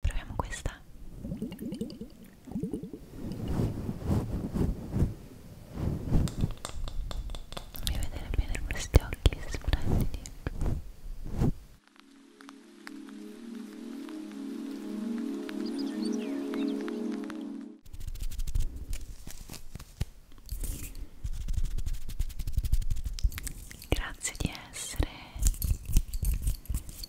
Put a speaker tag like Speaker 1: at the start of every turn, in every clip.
Speaker 1: Proviamo questa. Fammi vedere bene questi occhi splendidi. Grazie di essere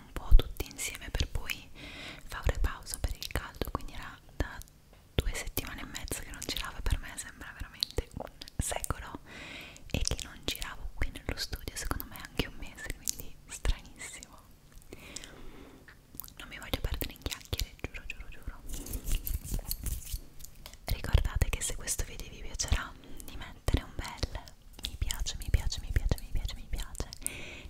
Speaker 1: un po' tutti insieme per poi fare pausa per il caldo quindi era da due settimane e mezza che non girava per me sembra veramente un secolo e che non giravo qui nello studio secondo me anche un mese quindi stranissimo non mi voglio perdere in chiacchiere giuro giuro giuro ricordate che se questo video vi piacerà di me mettere un bel mi piace, mi piace, mi piace, mi piace, mi piace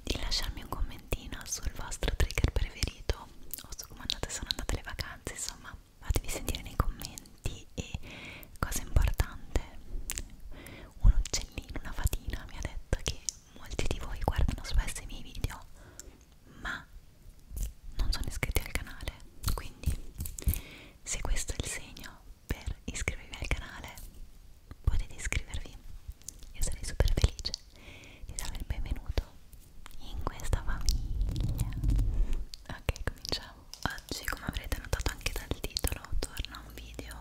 Speaker 1: di lasciarmi un commentino sul vostro trigger preferito o su come andate, sono andate le vacanze insomma fatevi sentire nei commenti e cosa importante un uccellino, una fatina mi ha detto che molti di voi guardano spesso i miei video ma non sono iscritti al canale quindi se questo è il segno per iscrivervi al canale potete iscrivervi io sarei super felice di darvi il benvenuto in questa famiglia ok cominciamo oggi come avrete notato anche dal titolo torna un video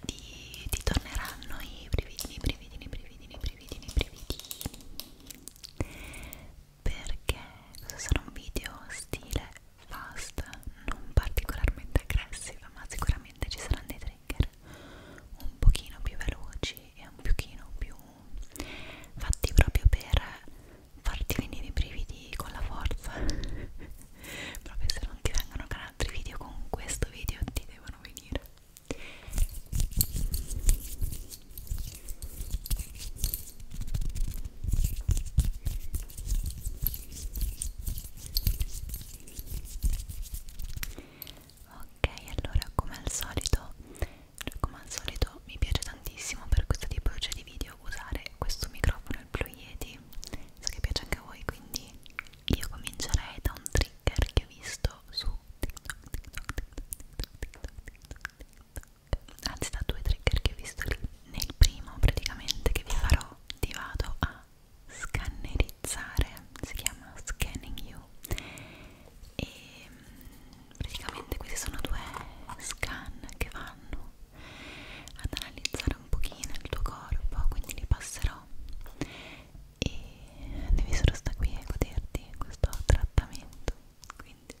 Speaker 1: di ti torneranno i brividini brividini brividini brividini brividini perché questo sarà un video stile fast, non particolarmente aggressiva, ma sicuramente ci saranno dei trigger un pochino più veloci e un pochino più fatti proprio per farti venire i brividi con la forza. proprio se non ti vengono con altri video, con questo video ti devono venire. Ok, allora come al solito, come al solito mi piace tantissimo per questo tipologia cioè, di video usare questo microfono, il Blue Yeti. So che piace anche a voi, quindi io comincerei da un trigger che ho visto su TikTok, TikTok, TikTok, TikTok, TikTok, TikTok, TikTok, anzi da due trigger che ho visto lì nel primo praticamente che vi farò ti vado a scannerizzare si chiama scanning you e praticamente questi sono due scan che vanno ad analizzare un pochino il tuo corpo quindi li passerò e devi solo stare qui e goderti questo trattamento quindi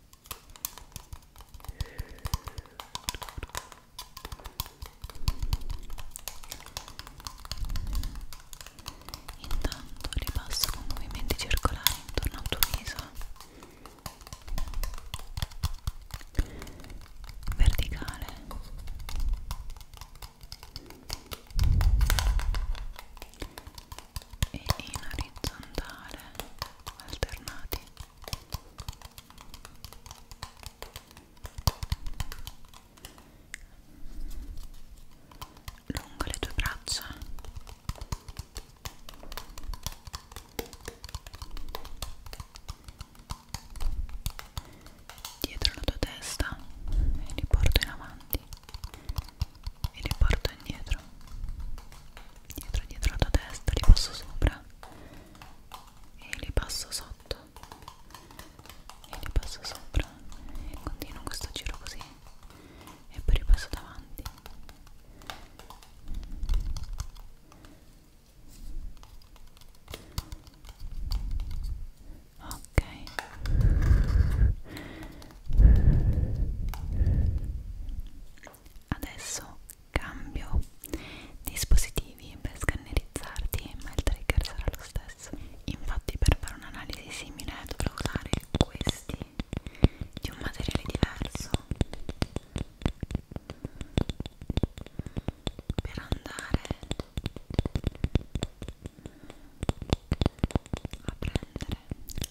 Speaker 1: Intanto ripasso con movimenti circolari intorno al tuo viso verticale e in orizzontale alternati lungo le tue braccia dietro la tua testa e li porto in avanti e li porto indietro dietro dietro la testa li passo sopra e li passo sotto e li passo sopra e continuo questo giro così e poi li passo davanti ok adesso Cambio dispositivi per scannerizzarti, ma il trigger sarà lo stesso. Infatti, per fare un'analisi simile dovrò usare questi di un materiale diverso per andare a prendere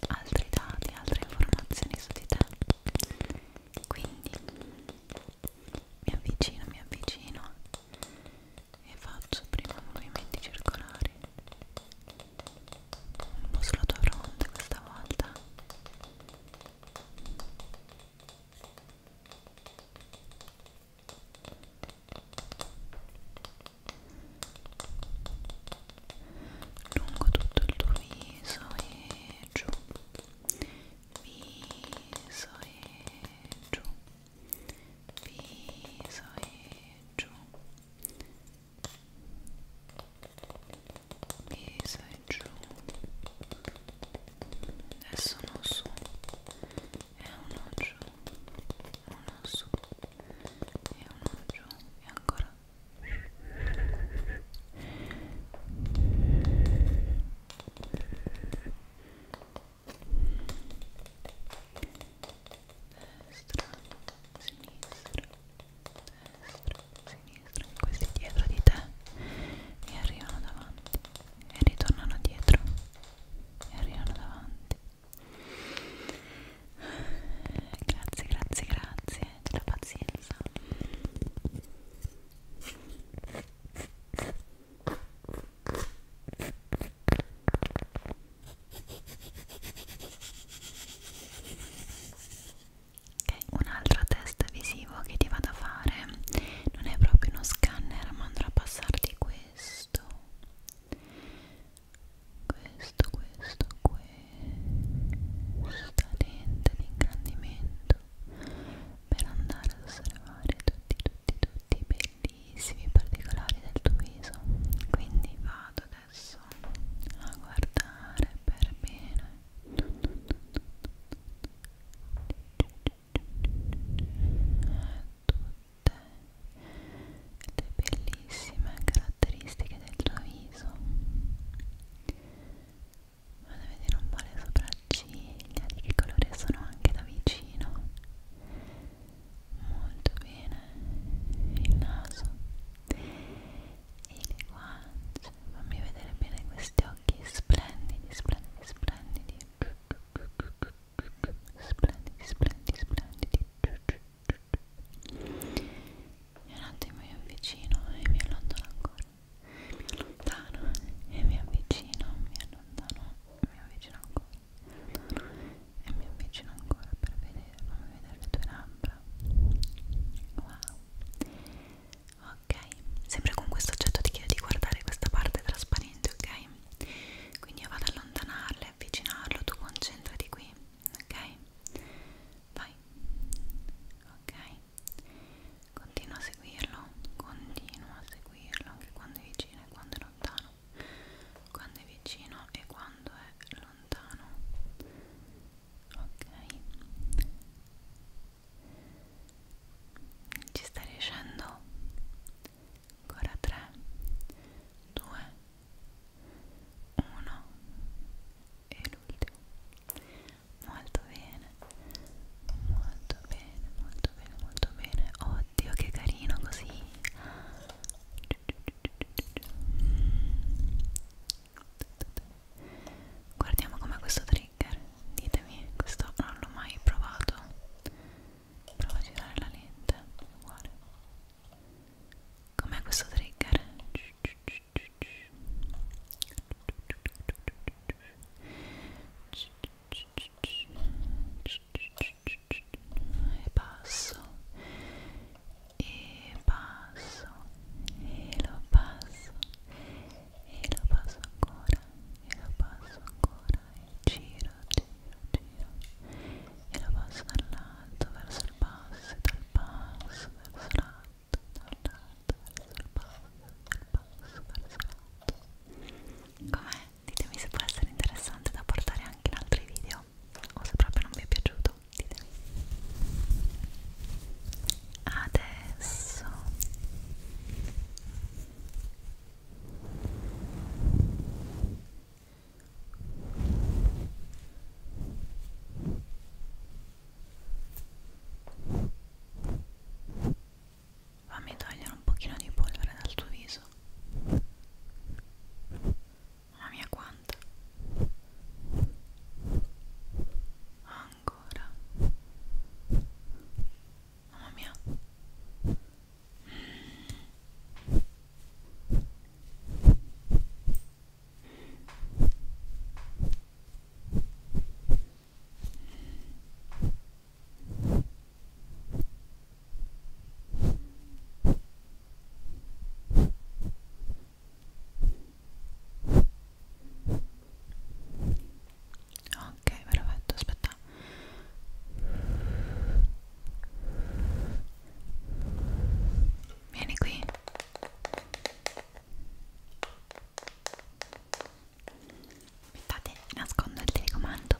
Speaker 1: altri dati, altre informazioni su di te quindi mi avvicino, mi avvicino e faccio prima movimenti circolari un po' sulla tua fronte questa volta lungo tutto il tuo viso e giù viso e giù viso e giù viso e giù adesso uno su e uno giù uno su e uno giù e ancora destra, sinistra, destra, sinistra, questi dietro di te e arrivano davanti e ritornano dietro e arrivano davanti. Grazie, grazie, grazie della pazienza senza ok un'altra test visivo che ti vado a fare non è proprio uno scanner ma andrò a passarti questo questo questo questo sta lente di ingrandimento per andare ad osservare tutti, tutti, tutti i bellissimi particolari del tuo viso. Quindi vado adesso a guardare per bene. Tutte le bellissime caratteristiche del tuo viso vado a vedere un po' le sopracciglia di che colore sono anche da vicino molto bene il naso e le guance fammi vedere bene questi occhi splendidi splendidi splendidi splendidi splendidi splendidi e un attimo io avvicino e mi allontano ancora mi allontano e mi avvicino, mi allontano, mi avvicino ancora, mi allontano e mi avvicino ancora per vedere, fammi vedere le tue labbra wow ok, sempre con questo oggetto ti chiedo di guardare questa parte trasparente, ok? quindi io vado ad allontanarle, avvicinarlo, tu concentrati qui ok? vai ok continua a seguirlo continua a seguirlo anche quando è vicino e quando è lontano quando è vicino e quando è lontano ok ci sta riuscendo ancora 3 2 1 e l'ultimo molto bene molto bene molto bene molto bene oddio che carino così guardiamo com'è questo trigger ditemi questo non l'ho mai provato provo a girare la lente uguale com'è questo trigger e passo e passo e lo passo e lo passo ancora e lo passo ancora e giro giro giro e lo passo dal lato verso il basso e dal basso verso l'alto Com'è? Ditemi se può essere interessante da portare anche in altri video o se proprio non vi è piaciuto, ditemi. Adesso ok Fammi togliere un pochino di polvere dal tuo viso. Mamma mia quanta. Ancora. Mamma mia. Mm. Ok, perfetto, aspetta. Vieni qui aspettate nascondo il telecomando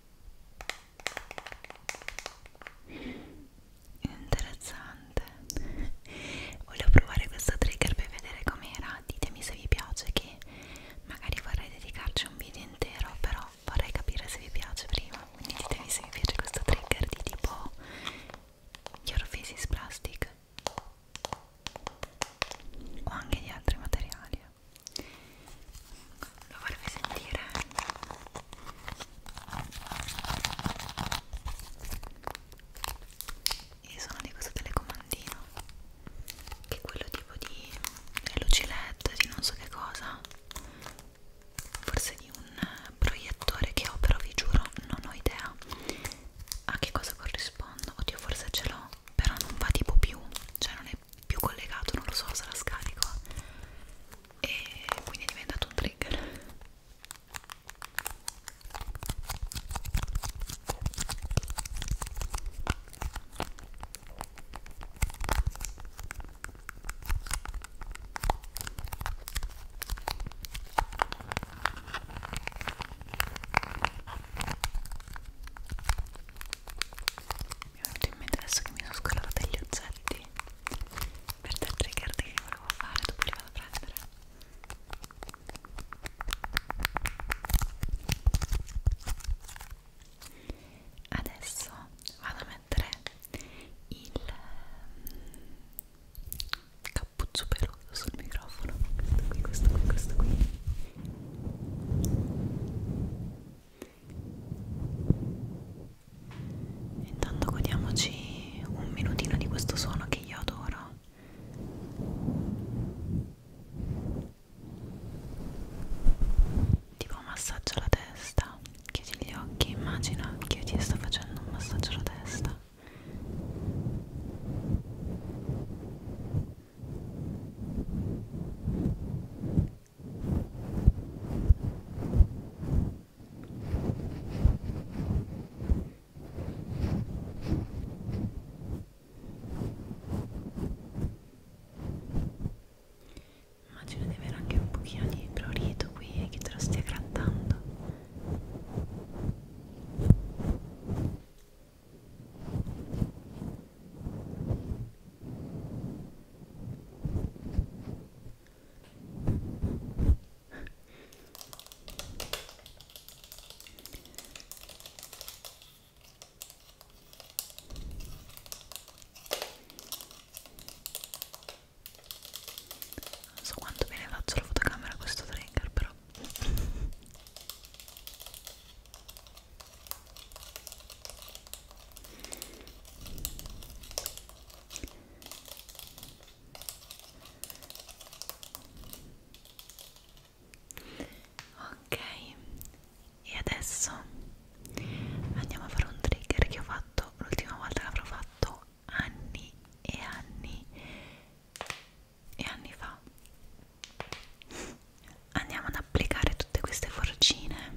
Speaker 1: interessante volevo provare questo trigger per vedere com'era ditemi se vi piace che magari vorrei dedicarci un video intero però vorrei capire se vi piace prima quindi ditemi se vi piace questo trigger di tipo your physics plastic o anche di altri materiali lo farvi sentire io sono di questo telecomandino che è quello tipo di luci led di non so che cosa forse di un proiettore che ho però vi giuro non ho idea a che cosa corrispondo oddio forse ce l'ho però non va tipo più, cioè non è più collegato, non lo so se la scarico e quindi è diventato un trigger mi è venuto in mente adesso che mi sono scolata degli oggetti per te trigger che volevo fare dopo li vado a prendere adesso vado a mettere il mm, cappuccio peludo sul microfono questo qui, questo qui, questo qui Intanto godiamoci un minutino di questo suono che io adoro. Tipo massaggio alla testa. Chiudi gli occhi, immagina che io ti sto facendo un massaggio alla testa. Immagino di avere anche un pochino di prurito qui e che te lo stia grattando. Non so quanto bene faccio la fotocamera a questo trigger però Ok, e adesso andiamo a fare un trigger che ho fatto l'ultima volta che l'avrò fatto anni e anni e anni fa andiamo ad applicare tutte queste forcine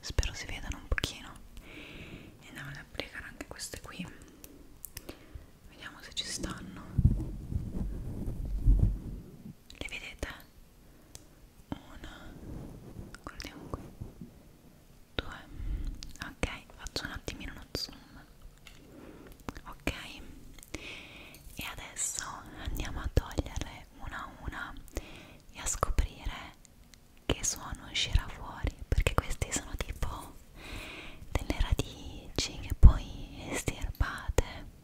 Speaker 1: spero si vedano un pochino e andiamo ad applicare anche queste qui vediamo se ci stanno le vedete? una guardiamo qui due ok faccio un attimino uno zoom ok e adesso andiamo a toglierle una a una e a scoprire che suono uscirà fuori perché questi sono tipo delle radici che poi estirpate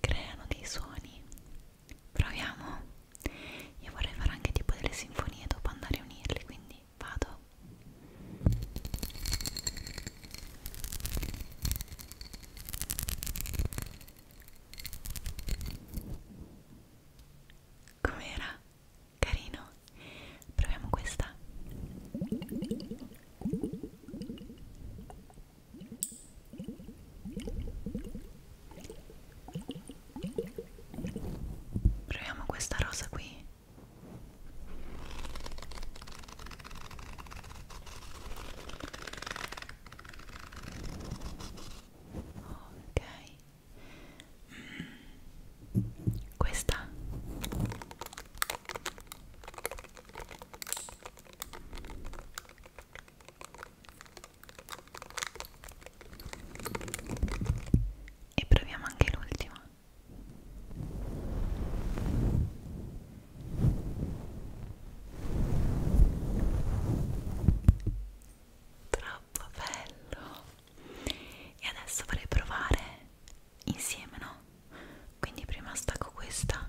Speaker 1: creano dei suoni proviamo io vorrei fare anche tipo delle sinfonie dopo andare a unirli quindi vado com'era? carino? proviamo questa Proviamo questa rosa qui. Ok. Mm. Questa e proviamo anche l'ultima troppo bello e adesso vorrei provare insieme no? Quindi prima stacco questa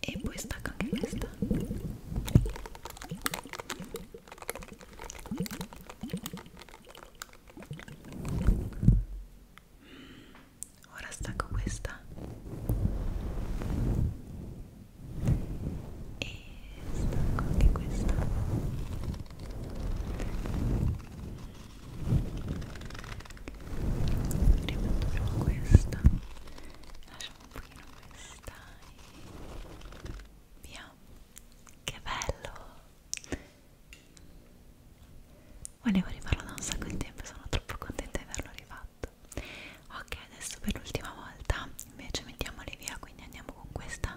Speaker 1: e poi stacco anche questa mm, ora stacco questa e stacco anche questa rimetto prima questa lasciamo un pochino questa e via che bello volevo rifarlo da un sacco di tempo sono troppo contenta di averlo rifatto ok adesso per l'ultima volta invece mettiamole via quindi andiamo con questa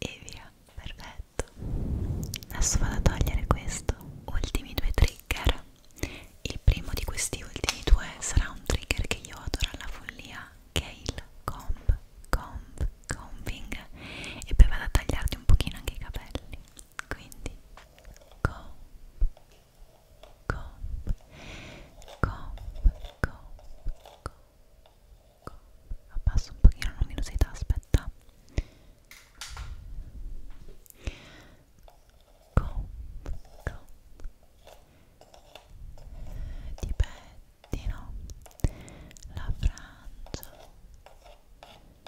Speaker 1: e via perfetto adesso vado a togliere questo ultimi due trigger il primo di questi ultimi due sarà un trigger che io adoro alla follia che è il comb comb combing e poi vado a tagliarti un pochino anche i capelli quindi comb comb comb comb comb Abbasso un pochino la luminosità, aspetta com, com. ti pettino la frangia Ecco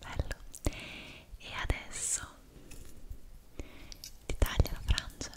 Speaker 1: Bello. E adesso ti taglio la frangia.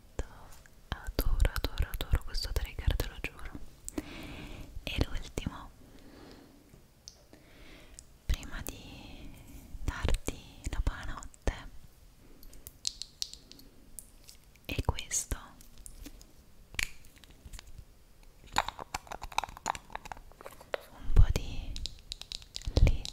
Speaker 1: letto adoro adoro adoro questo trigger te lo giuro e l'ultimo prima di darti la buonanotte e questo un po' di lip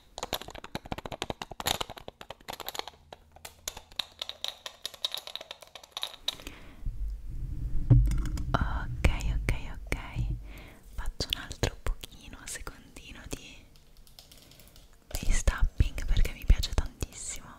Speaker 1: Ok, ok, ok. Faccio un altro pochino, secondino di face tapping perché mi piace tantissimo.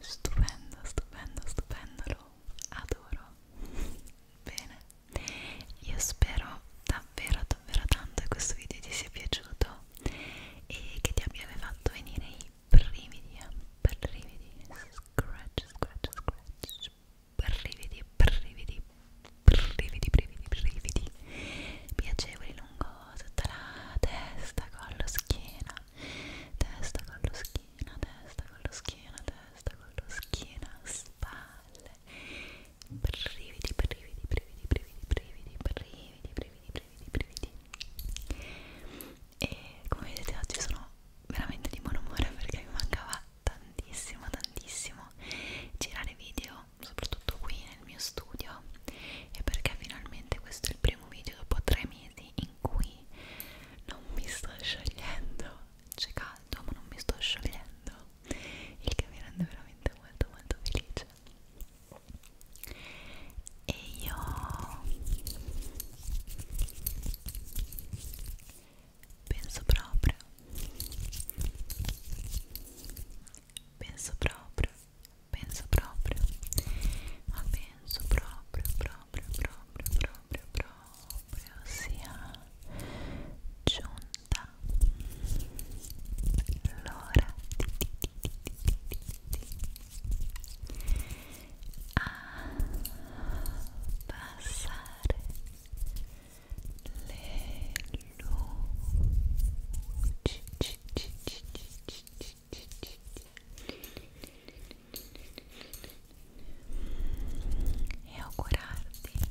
Speaker 1: Stupendo, stupendo, stupendo, lo adoro. Bene, io spero davvero davvero tanto che questo video ti sia piaciuto e che ti abbia fatto venire i brividi brividi scratch scratch scratch brividi brividi brividi brividi brividi piacevoli lungo tutta la testa collo schiena testa collo schiena testa collo schiena testa collo schiena spalle brividi, brividi, brividi, brividi, brividi, brividi, brividi, brividi, brividi. E come vedete oggi sono veramente di buon umore perché mi mancava tantissimo, tantissimo girare video, soprattutto qui nel mio studio e perché finalmente questo è il primo video dopo tre mesi in cui non mi sto sciogliendo c'è caldo ma non mi sto sciogliendo il che mi rende veramente molto molto felice e io penso proprio penso proprio penso proprio ma penso proprio proprio proprio proprio proprio sia giunto sta l'ora a passare le luci e augurarti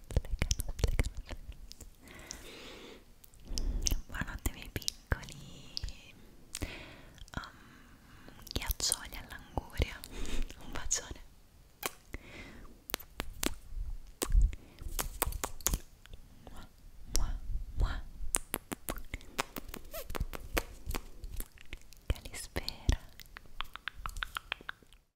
Speaker 1: legano, legano. Buonanotte miei piccoli um, ghiaccioli all'anguria. Un bacione. Mua, mua, mua. Calispera